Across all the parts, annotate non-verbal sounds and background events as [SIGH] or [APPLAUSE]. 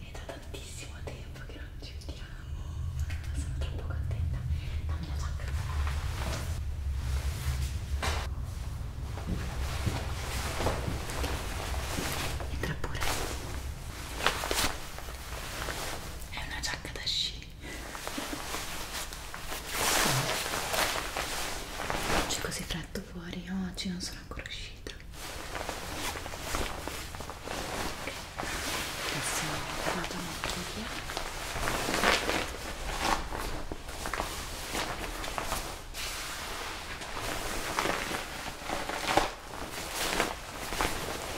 È da tantissimo tempo che non ci vediamo. Sono troppo contenta. Dammi la giacca. Entra pure. È una giacca da sci. C'è così freddo fuori, oggi non sono ancora uscita vita che sono tornata molto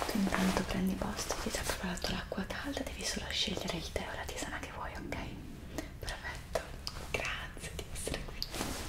tu intanto prendi posto ti sei preparato l'acqua calda devi solo scegliere il tè o la tisana che vuoi ok? perfetto perfetto, grazie di essere qui. Grazie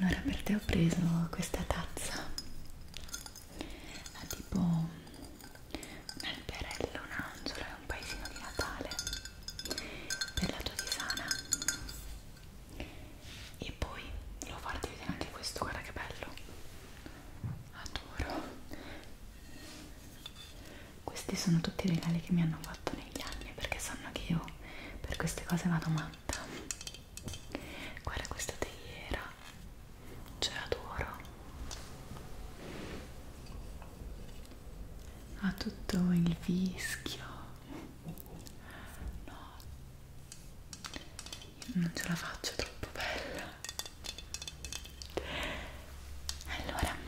allora per te ho preso questa tazza ha tipo un alberello, un angelo e un paesino di Natale per la tua tisana e poi devo farti vedere anche questo, guarda che bello adoro questi sono tutti i regali che mi hanno fatto negli anni perché sanno che io io per queste cose vado matta guarda questa teiera ce l'adoro ha tutto il vischio no io non ce la faccio troppo bella allora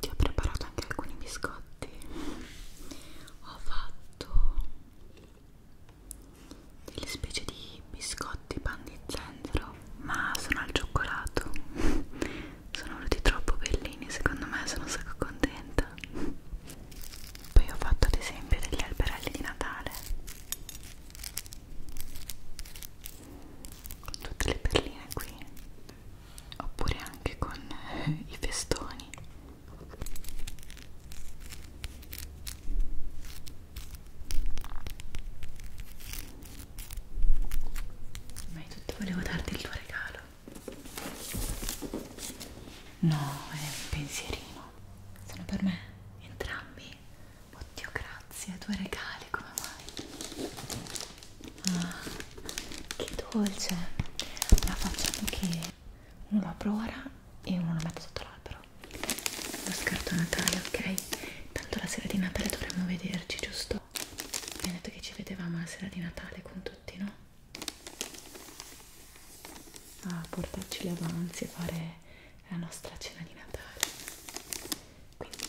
ti ho preparato anche alcuni biscotti. Ho fatto delle specie di biscotti pan di zenzero io ma sono al cioccolato [LAUGHS] sono venuti troppo bellini secondo me sono un sacco contenta poi ho fatto ad esempio degli alberelli di Natale con tutte le perline qui oppure anche con eh, i festoni ma è tutto, volevo darti il tuo regalo. No, è un pensierino. Sono per me entrambi. Oddio, grazie, due regali come mai? Ah, che dolce! La facciamo che uno lo apro ora e uno lo metto sotto l'albero. Lo scarto natale, ok? Tanto la sera di Natale dovremmo vederci, giusto? Mi ha detto che ci vedevamo la sera di Natale con tutti, no? A portarci gli avanzi e fare la nostra cena di Natale. Quindi,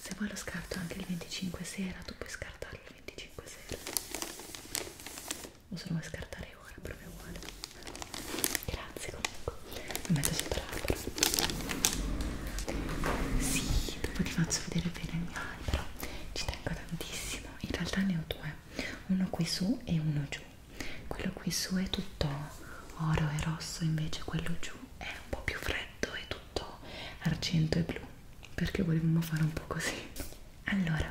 se vuoi lo scarto anche il 25 sera, tu puoi scartarlo il 25 sera. O se lo vuoi scartare ora, proprio uguale. Grazie comunque lo metto sopra l'albero sì, dopo ti faccio vedere bene il mio albero ci tengo tantissimo in realtà ne ho due uno qui su e uno giù quello qui su è tutto oro e rosso invece quello giù è un po' più freddo è tutto argento e blu perché volevamo fare un po' così allora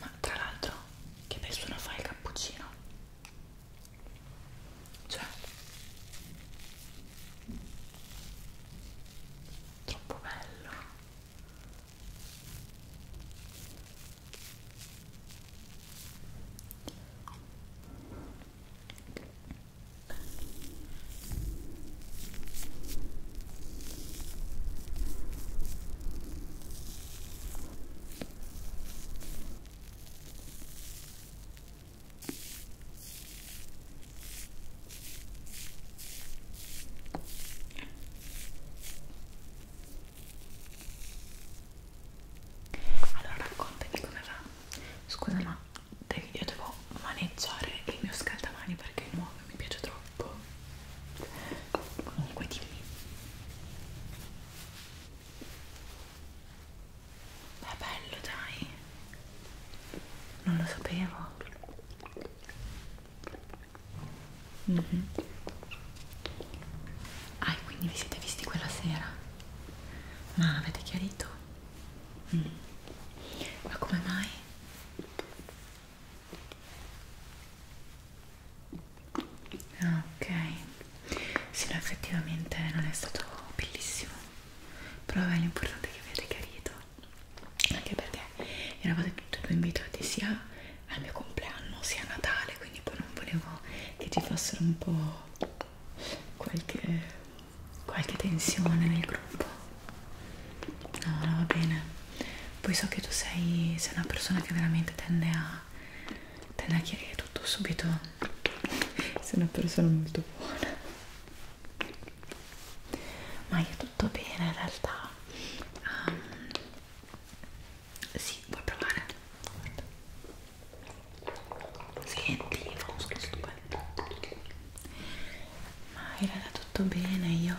ma tra l'altro che bel suono fa il cappuccino cioè troppo bello allora raccontami come va. Scusa ma io devo maneggiare il mio scaldamani perché è nuovo e mi piace troppo troppo comunque dimmi ma bello dai non lo sapevo mm -hmm. ah e quindi vi siete visti quella sera ma avete chiarito? Mm. ma come mai? ok sì no effettivamente non è stato bellissimo però è l'importante che avete chiarito anche perché eravate tutti e due invitati sia al mio compleanno sia a Natale quindi poi non volevo che ci fossero un po' qualche qualche tensione nel gruppo no, no, va bene poi so che tu sei, sei una persona che veramente tende a tende a chiarire tutto subito sei una persona molto buona ma io tutto bene in realtà um, sì, vuoi provare? Guarda. Senti, fa uno schifo stupendo ma in realtà tutto bene io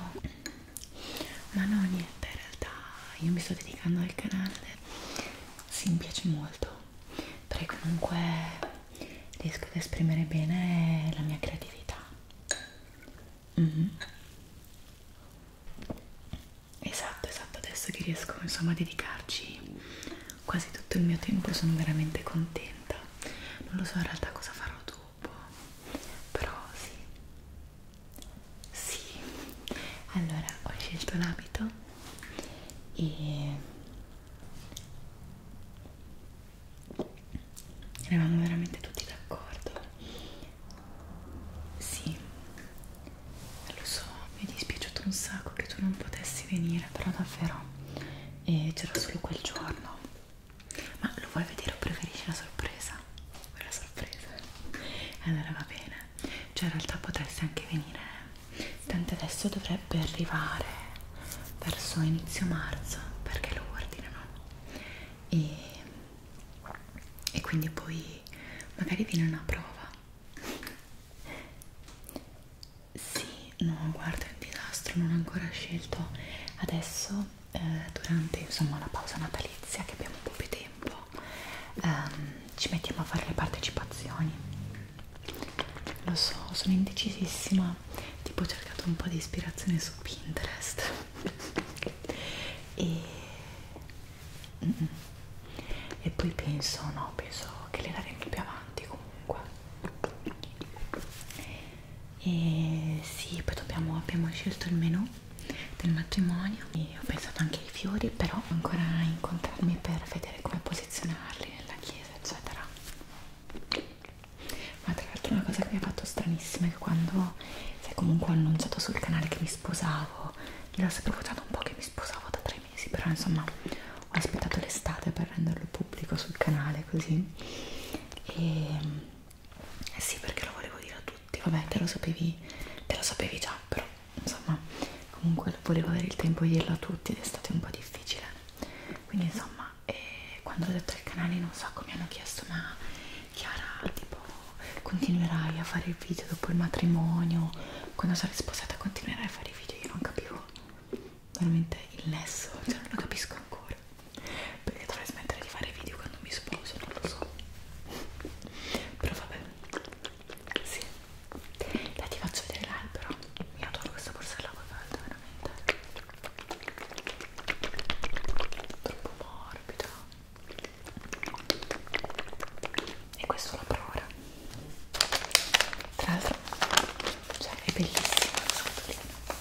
ma no niente in realtà io mi sto dedicando al canale sì mi piace molto perché comunque riesco ad esprimere bene la mia creatività mm -hmm. esatto esatto adesso che riesco insomma a dedicarci quasi tutto il mio tempo sono veramente contenta non lo so in realtà cosa farò dopo zuppo però sì sì allora ho scelto l'abito e eravamo veramente tutti d'accordo sì lo so mi è dispiaciuto un sacco che tu non potessi venire però davvero e eh, c'era solo quel giorno ma lo vuoi vedere o preferisci la sorpresa? Vuoi la sorpresa? Allora va bene. Cioè in realtà potresti anche venire. Tanto adesso dovrebbe arrivare verso inizio marzo perché lo ordinano. E, e quindi poi magari viene una prova. Sì, no, guarda il disastro, non ho ancora scelto. Adesso, eh, durante insomma la pausa natalizia, che abbiamo un po' più tempo, ehm, ci mettiamo a fare le partecipazioni. Lo so, sono indecisissima. Tipo, ho cercato un po' di ispirazione su Pinterest. e... Mm -mm. e poi penso, no, penso che le daremo più avanti comunque e sì, poi dobbiamo, abbiamo scelto il menù del matrimonio e ho pensato anche ai fiori però ancora incontrarmi per vedere come posizionarli nella chiesa eccetera ma tra l'altro una cosa che mi ha fatto stranissima è che quando sai comunque ho annunciato sul canale che mi sposavo gliel'ho sempre votato un po' che mi sposavo da tre mesi però insomma ho aspettato l'estate per renderlo pubblico sul canale così e eh sì perché lo volevo dire a tutti vabbè te lo sapevi te lo sapevi già però insomma comunque volevo avere il tempo di dirlo a tutti ed è stato un po' difficile quindi insomma eh, quando ho detto al canale non so come hanno chiesto ma Chiara tipo continuerai a fare il video dopo il matrimonio quando sarai sposata continuerai a fare i video io non capivo veramente il nesso, cioè non lo capisco ancora perché dovrei smettere di fare video quando mi sposo, non lo so però vabbè sì dai ti faccio vedere l'albero io adoro questa borsella acqua calda veramente troppo morbida e questo la prora tra l'altro cioè è bellissima la scatolina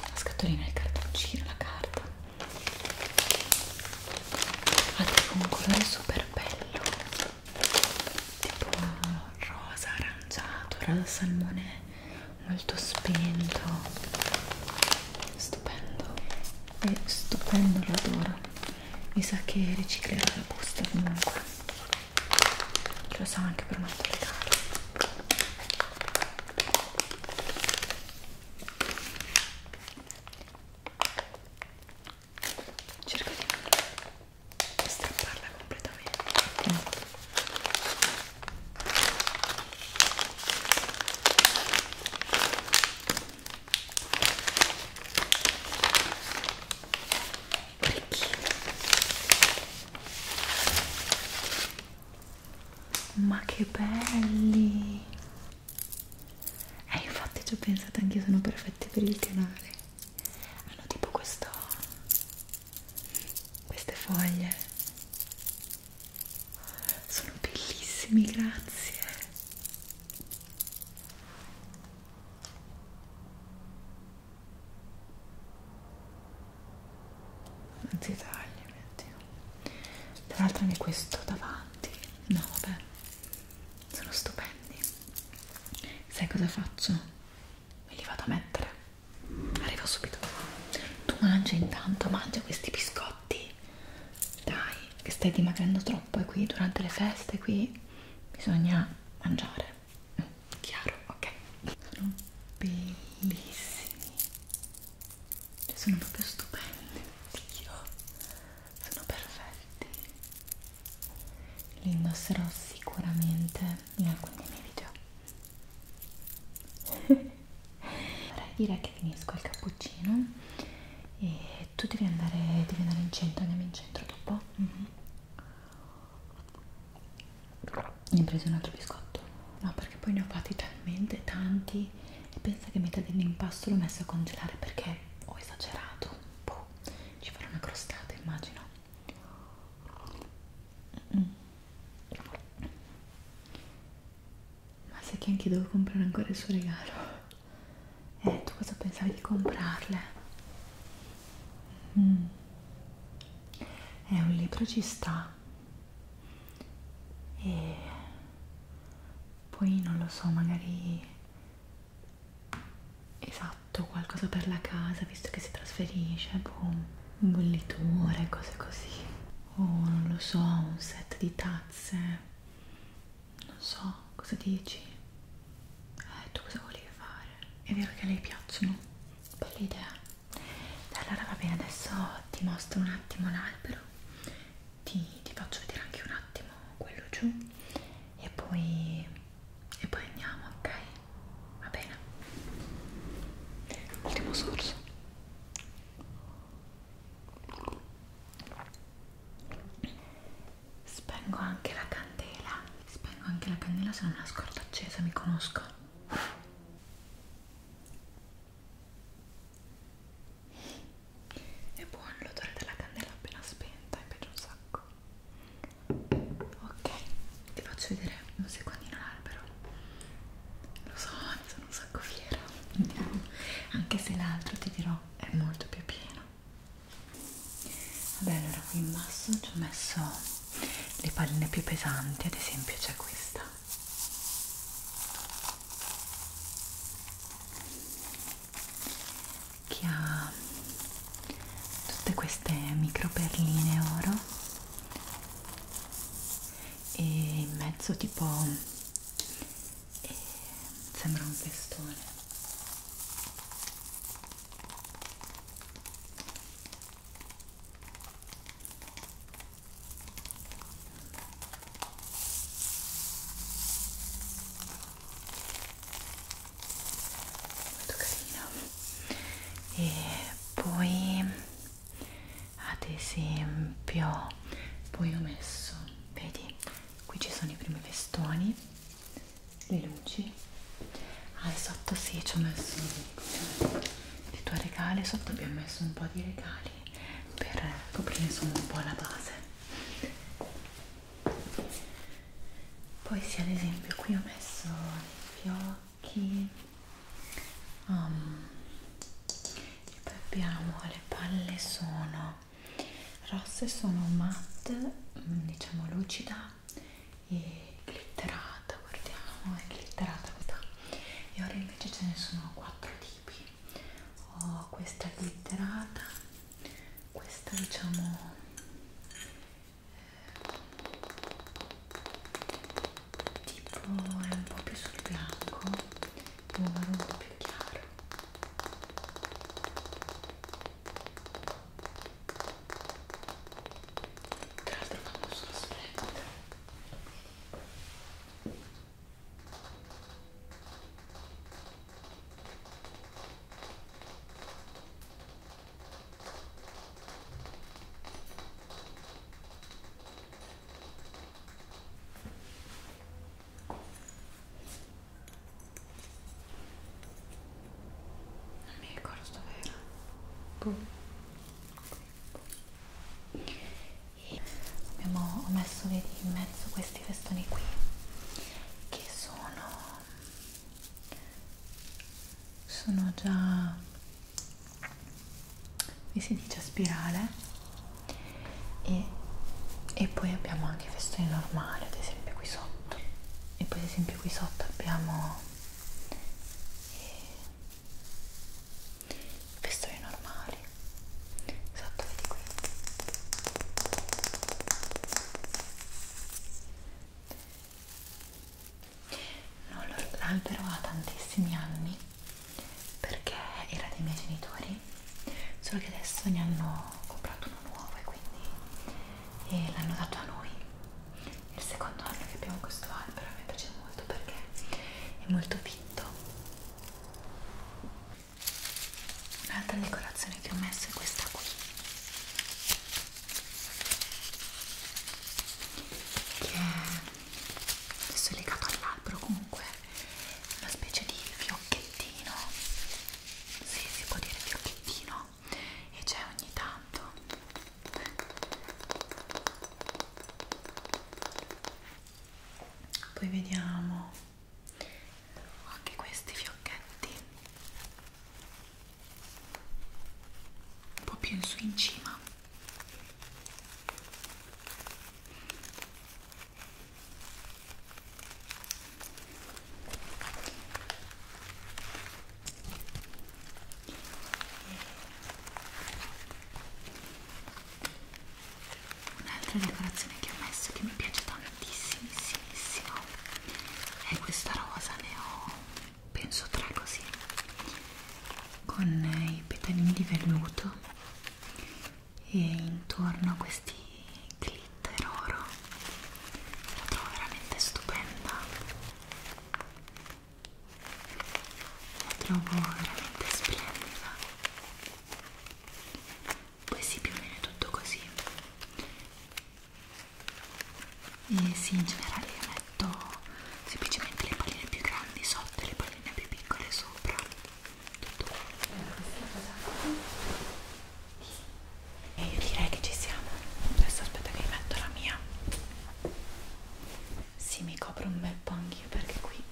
la scatolina, il cartoncino, la carta ha tipo un colore super bello tipo rosa aranciato, rosa salmone molto spento stupendo è stupendo l'odore mi sa che riciclerò la busta comunque lo so anche per un altro regalo cerco di non strapparla completamente mm orecchini ma che belli eh infatti ci ho pensato anche io sono perfetti per il canale hanno tipo questo queste foglie sono bellissimi grazie ti tagli mettilo tra l'altro anche questo davanti no vabbè sono stupendi sai cosa faccio? me li vado a mettere arrivo subito tu mangia intanto mangia questi biscotti dai che stai dimagrendo troppo e qui durante le feste qui bisogna mangiare colore chiaro, ok sono bellissimi cioè, sono proprio stupendi Dio sono perfetti li indosserò sicuramente in alcuni dei miei video [LAUGHS] direi che finisco il cappuccino e tu devi andare, devi andare in centro andiamo in centro dopo? Mm -hmm ne ho preso un altro biscotto no perché poi ne ho fatti talmente tanti e pensa che metà dell'impasto l'ho messo a congelare perché ho esagerato boh, ci farò una crostata immagino mm. ma sai che anche devo comprare ancora il suo regalo eh, tu cosa pensavi di comprarle? Mm. mm. È un libro ci sta. E poi non lo so, magari esatto, qualcosa per la casa, visto che si trasferisce, boom, bolliture, cose così. O oh, non lo so, un set di tazze. Non so, cosa dici? Eh, tu cosa volevi fare? È vero che a lei piacciono? Bella idea. Allora va bene, adesso ti mostro un attimo l'albero, ti, ti faccio vedere anche un attimo quello giù e poi, e poi andiamo, ok? Va bene. Ultimo sorso. Spengo anche la candela. Spengo anche la candela se non la scordo accesa, mi conosco. È buono l'odore della candela appena spenta, mi piace un sacco. Ok, ti faccio vedere un secondino l'albero. Lo so, ne sono un sacco fiera. Andiamo. [LAUGHS] Anche se l'altro ti dirò è molto più pieno. Vabbè, allora qui in basso ci ho messo le palline più pesanti, ad esempio c'è questa. Che ha tutte queste micro perline oro e in mezzo tipo eh, sembra un pestone molto carino e poi ad esempio poi ho messo vedi qui ci sono i primi vestoni le luci ah e sotto sì ci ho messo le tue regale sotto abbiamo messo un po' di regali per coprire insomma un po' la base poi sì ad esempio qui ho messo i fiocchi um, e poi abbiamo le palle sono rosse sono matte mm, diciamo lucida e glitterata guardiamo è glitterata questa e ora invece ce ne sono quattro tipi ho questa glitterata questa diciamo eh, tipo è un po' più sul bianco un marrone più chiaro tra l'altro fanno solo splendore non mi ricordo dove era boom. Boom. E abbiamo messo vedi, in mezzo questi festoni qui che sono sono già vi si dice a spirale e, e poi abbiamo anche festoni normali ad esempio qui sotto e poi ad esempio qui sotto abbiamo eh, festoni normali sotto vedi qui l'albero ha tantissimi anni perché era dei miei genitori solo che adesso ne hanno comprato uno nuovo e quindi l'hanno dato a noi è il secondo anno che abbiamo questo albero mi piace molto perché è molto fitto un'altra decorazione che ho messo è questa qui che è adesso è legato all'albero comunque una specie di fiocchettino sì, si può dire fiocchettino e c'è ogni tanto poi vediamo anche questi fiocchetti un po' più in su in cima Un'altra decorazione che ho messo che mi piace tantissimissimo è questa rosa, ne ho penso tre così, con i petalini di velluto e intorno a questi glitter oro la trovo veramente stupenda la trovo veramente splendida poi sì più o meno è tutto così e sì in generale io metto semplicemente le palline più grandi sotto e le palline più piccole sopra tutto e io direi che ci siamo adesso aspetta che mi metto la mia si sì, mi copro un bel po' anch'io perché qui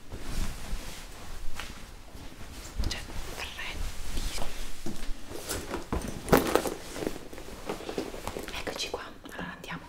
c'è freddo eccoci qua allora andiamo